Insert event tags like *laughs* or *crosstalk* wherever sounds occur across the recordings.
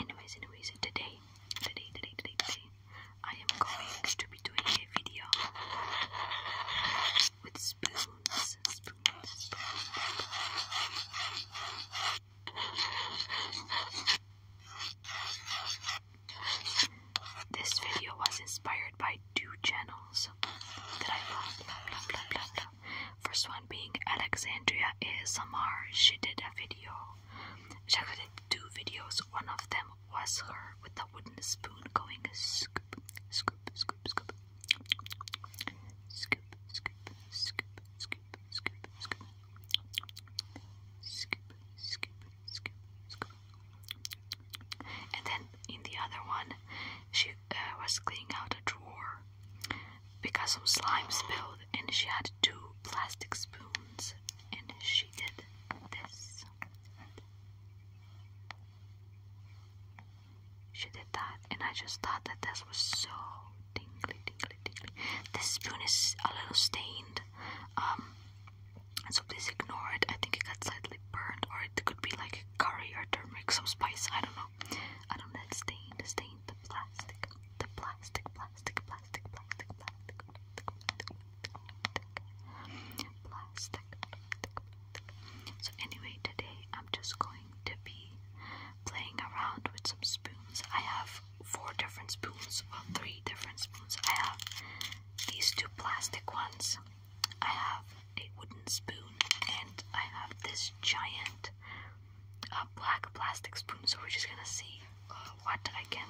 Anyways, anyways, today, today, today, today, I am going to be doing a video with spoons, This video was inspired by two channels that I love. First one being Alexandria ASMR. She did a video. She actually did two videos. One of them was her with the wooden spoon going scoop, scoop, scoop, scoop, scoop, scoop, scoop, scoop, scoop, scoop, scoop, scoop, scoop, scoop. And then in the other one, she I uh, was cleaning out a drawer because some slime spilled, and she had two plastic spoons, and she did this. She did that, and I just thought that this was so tingly, tingly, tingly. This spoon is a little stained, um, so please ignore it. I think it got slightly burned, or it could be like curry or turmeric, some spice. I don't know. I don't know. It's stained, stained the plastic, the plastic, plastic, plastic, plastic, plastic, plastic, plastic, So anyway, today I'm just going to be playing around with some spoons. I have four different spoons, well, three different spoons. I have these two plastic ones. I have a wooden spoon and I have this giant a black plastic spoon, so we're just gonna see uh, what I can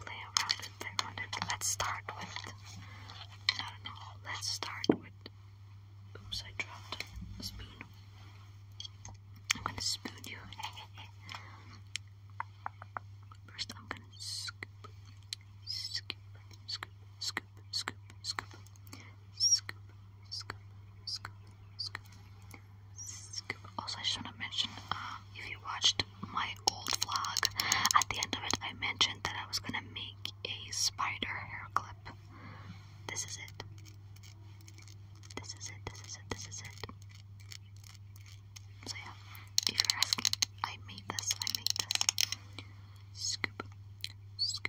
play around with. Around it. Let's start with, I don't know, let's start with, oops, I dropped a spoon. I'm gonna spoon you. First, I'm gonna scoop, scoop, scoop, scoop, scoop, scoop, Scoop, Also, I just want to um, if you watched my old vlog, at the end of it, I mentioned that I was going to make a spider hair clip. This is it. This is it, this is it, this is it. So, yeah, if you're asking, I made this, I made this. Scoop, scoop.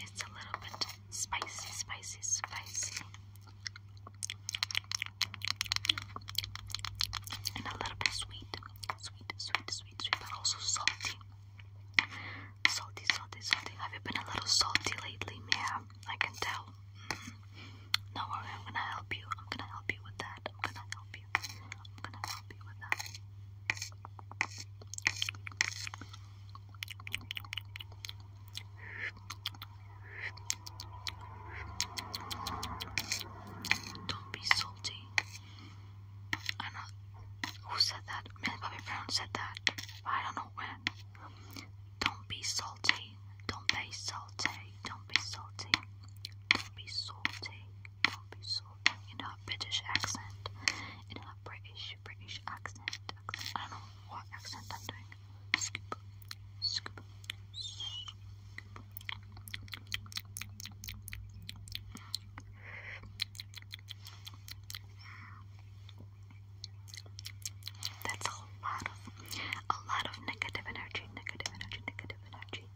It's a little bit spicy, spicy, spicy. And a little bit sweet. Sweet, sweet, sweet, sweet, but also salty. Salty, salty, salty. Have you been a little salty lately, Mia? I can tell. Mm -hmm. No worry, I'm gonna help you. I'm gonna help you with that. I'm gonna help you. I'm gonna help don't be salty. I'm Who said that? Maybe Bobby Brown said that. I don't know when. Don't be salty. Don't be salty. Don't be salty. Don't be salty will be sold in her British accent, in her British, British accent, I don't know what accent I'm doing. That's a lot of, a lot of negative energy, negative energy, negative energy.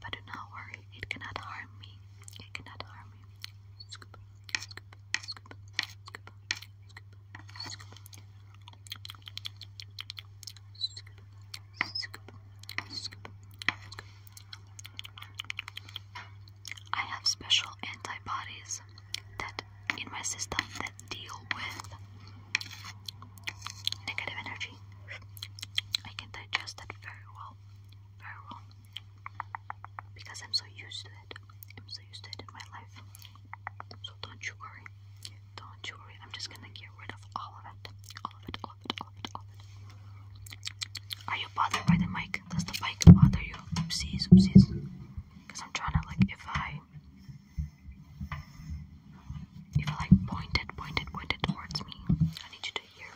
But do not worry, it cannot harm me. It cannot harm me. I have special antibodies that in my system that deal with negative energy. I can digest that very well. Very well because I'm so used to it. I'm so used to my life. So don't you worry. Don't you worry. I'm just gonna get rid of all of it. All of it, all of it, all of it, all of it. Are you bothered by the mic? Does the mic bother you? Oopsies, oopsies. Because I'm trying to, like, if I. If I like point it, point it, point it towards me, I need you to hear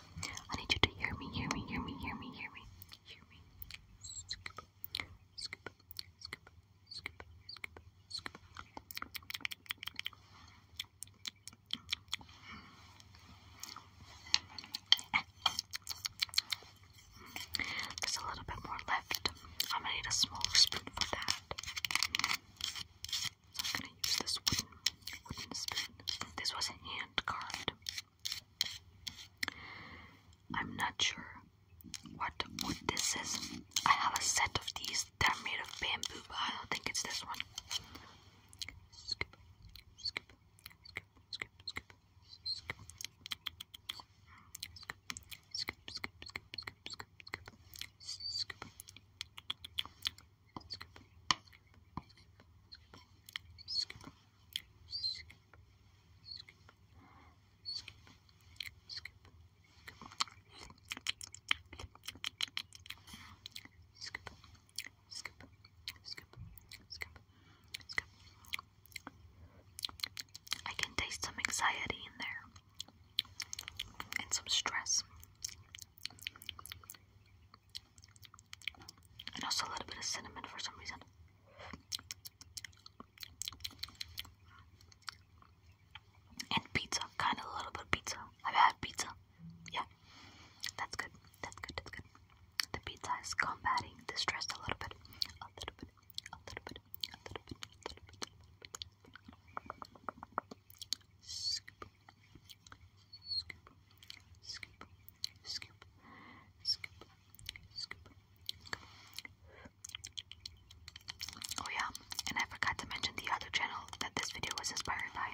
I need you to hear me, hear me, hear me, hear me, hear me, hear me. There's a little bit more left. I'm gonna need a small spoon for that. I'm gonna use this wooden wooden spoon. This was hand carved. I'm not sure what wood this is. I have a set of these they are made of bamboo, but I don't think it's this one. I can taste some anxiety in there and some stress and also a little bit of cinnamon for some reason. And pizza, kind of a little bit of pizza. I've had pizza. Yeah, that's good. That's good. That's good. The pizza is combating the stress A little bit. A little bit. A little bit. A little bit. A little bit. Oh yeah, and I forgot to mention the other channel that this video was inspired by.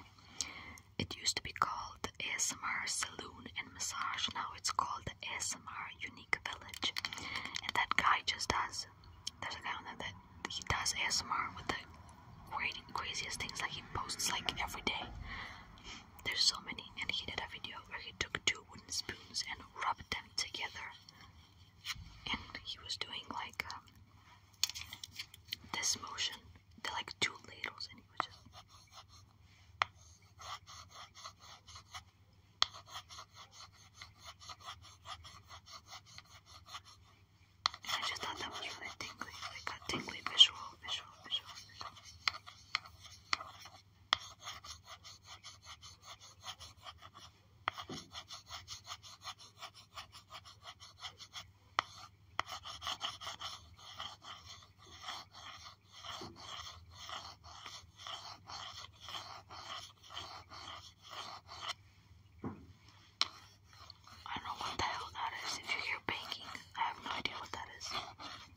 It used to be called ASMR Saloon and Massage. Now it's called ASMR Unique Village. And that guy just does. There's a guy on there that he does ASMR with the craziest things Like he posts like every day. There's so many, and he did a video where he took two wooden spoons and rubbed them together. And he was doing like um, this motion. They're like two ladles, and he was just. I just thought that was really tingly, like a tingly I don't know what the hell that is. If you hear banking, I have no idea what that is.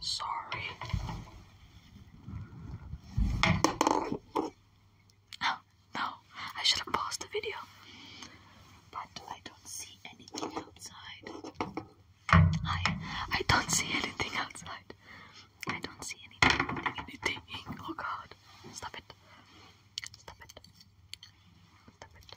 Sorry. Oh, no, I should have paused the video. But I don't see anything outside. I I don't see anything outside. I don't see Anything. Oh god. Stop it. Stop it. Stop it.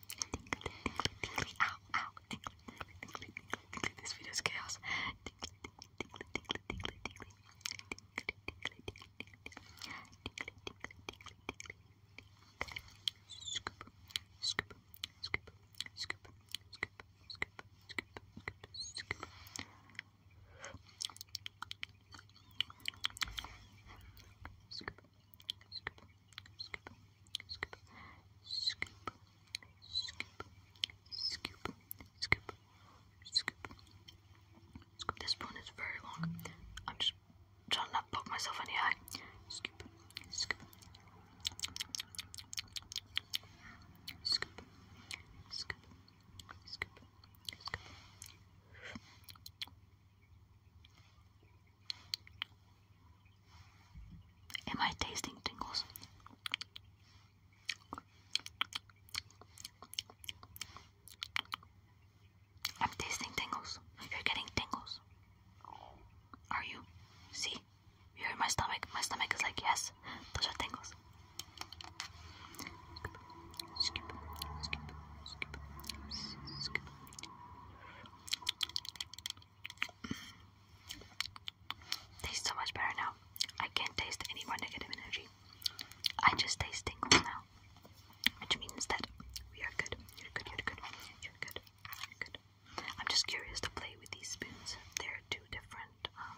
Tinkly, tinkly, tinkly, ow, ow, tinkly, tinkly, tinkly, tinkly, tinkly. This video's chaos. Tinkly, tinkly, tinkly, tinkly, tinkly, tinkly, tinkly, tinkly, tinkly, tinkly, tinkly, tinkly. Scoop, scoop, scoop, scoop, scoop, scoop, scoop, scoop, scoop. Scoop, scoop, scoop, scoop, scoop, scoop, scoop, scoop, scoop. Scoop. This one is very long. I'm just trying not to poke myself in the eye. Scoop, scoop, scoop, scoop, scoop, scoop. Am I tasting tingles? I'm tasting tingles. You're getting tingles. Are you? See? You hear my stomach? My stomach is like, yes, those are tingles. Tastes so much better now. I can't taste any more negative energy. I just taste tingles now. Which means that we are good. You're good, you're good, you're good, you're good. I'm just curious to play with these spoons. They're two different, um,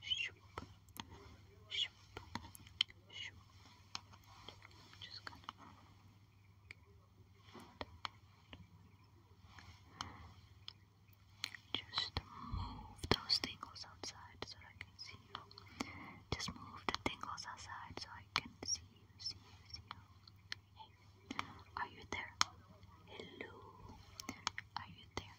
Shoop. Shoop. Just move those tingles outside so I can see you. Just move the tingles outside so I can see you, see you, are you there? Hello, are you there?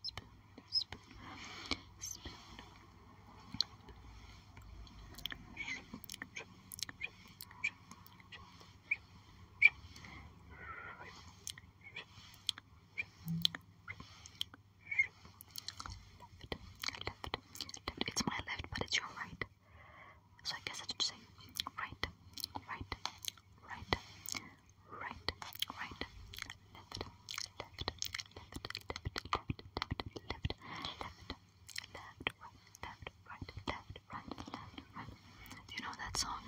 It's my left, but it's your right. So I guess I should say right, right, right, right, right, left, left, left, left, left, left, left. Left, right, left, right, left, right, left, right. Do you know that song?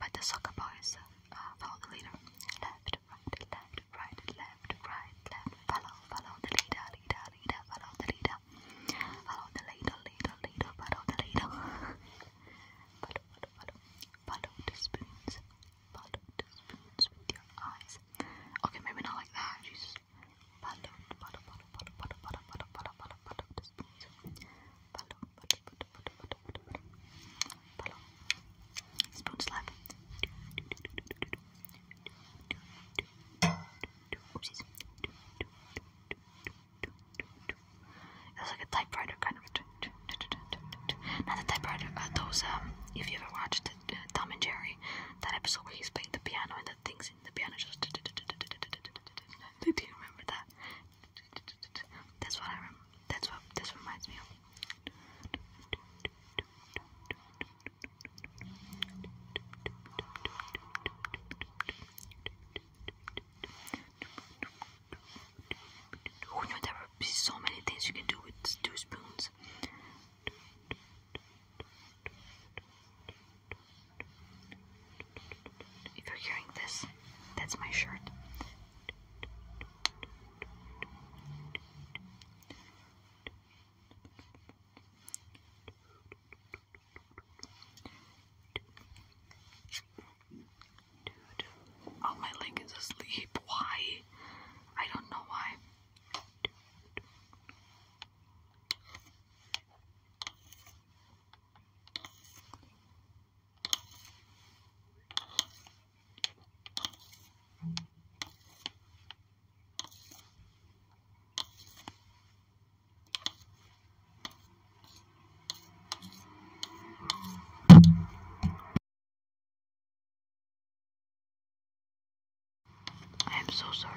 By the soccer boys, uh, follow the leader. Left, right, left, right, left, right, left. Follow, follow the leader, leader, leader, follow the leader. Follow the leader, leader, leader, follow the leader. *laughs* follow, follow, follow. Follow the spoons, Palot spoons with your eyes. Okay, maybe not like that. Jesus. Palot, palot, palot, palot, palot, palot, palot, palot, palot, palot, spoons. Palot, palot, palot, palot, palot, palot, palot. Spoon slap. It's like a typewriter kind of not the typewriter, uh, those, um, if you ever watched uh, Tom and Jerry, that episode where he's playing the piano and the things in the piano just. Do you remember that? That's what I remember. That's what this reminds me of. Who knew there were so many things you can do with two spoons? If you're hearing this, that's my shirt. Oh, my leg is asleep. Why? I don't know why. I am so sorry.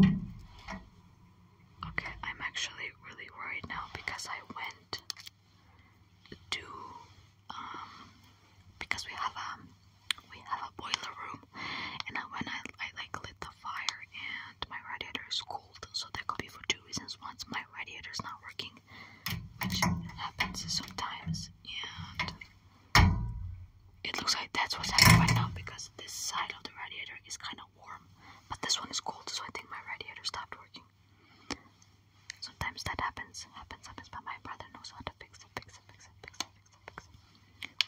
Okay, I'm actually really worried now because I went to um because we have um we have a boiler room and I when I, I like lit the fire and my radiator is cold so that could be for two reasons once my radiator is not working which happens sometimes and it looks like that's what's happening right now because this side of the radiator is kind of warm, but this one is cold, so I think my radiator stopped working. Sometimes that happens, happens, happens, but my brother knows how to fix it, fix it, fix it, fix it, fix it, fix it.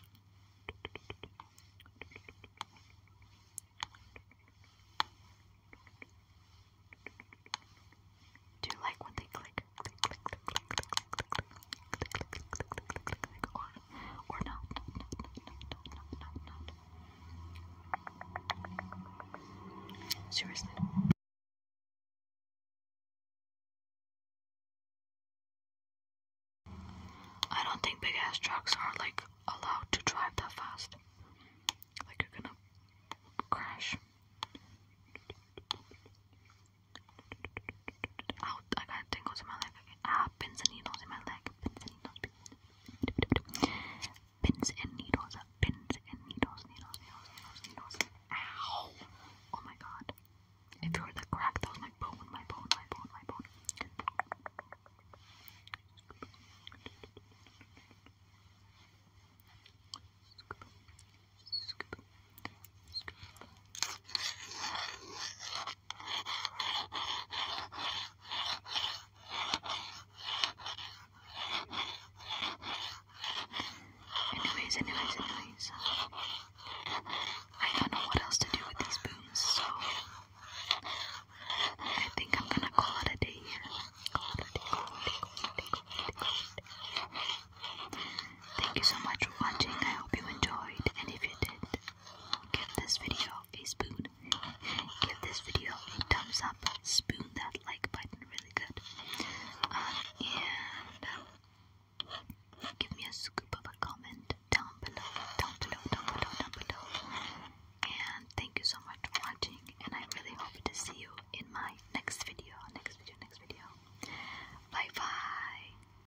Do like when they click, click, click, click, click, click, click, click, click, click, click, click, click, click, or not. Seriously. I don't think big ass trucks are like allowed to drive that fast. Like you're gonna crash. Out, I got tingles in my leg again. Ah, pins and needles in my leg. Pins and needles. Pins and needles. Pins and needles. Uh, needles, needles, needles, needles. Ow! Oh my god. If you were the crack, that was my bone, my bone, my bone, my bone. Anyways, anyways, anyways. I don't know what else to do with these booms, so I think I'm gonna call it a day here. Thank you so much for watching. I hope you enjoyed, and if you did, Give this video a spoon. Give this video a thumbs up. Spoon that like button really good. Um, and give me a scoop of a comment down below, down below, down below, down below. And thank you so much for watching. And I really hope to see you in my next video, next video, next video. Bye bye.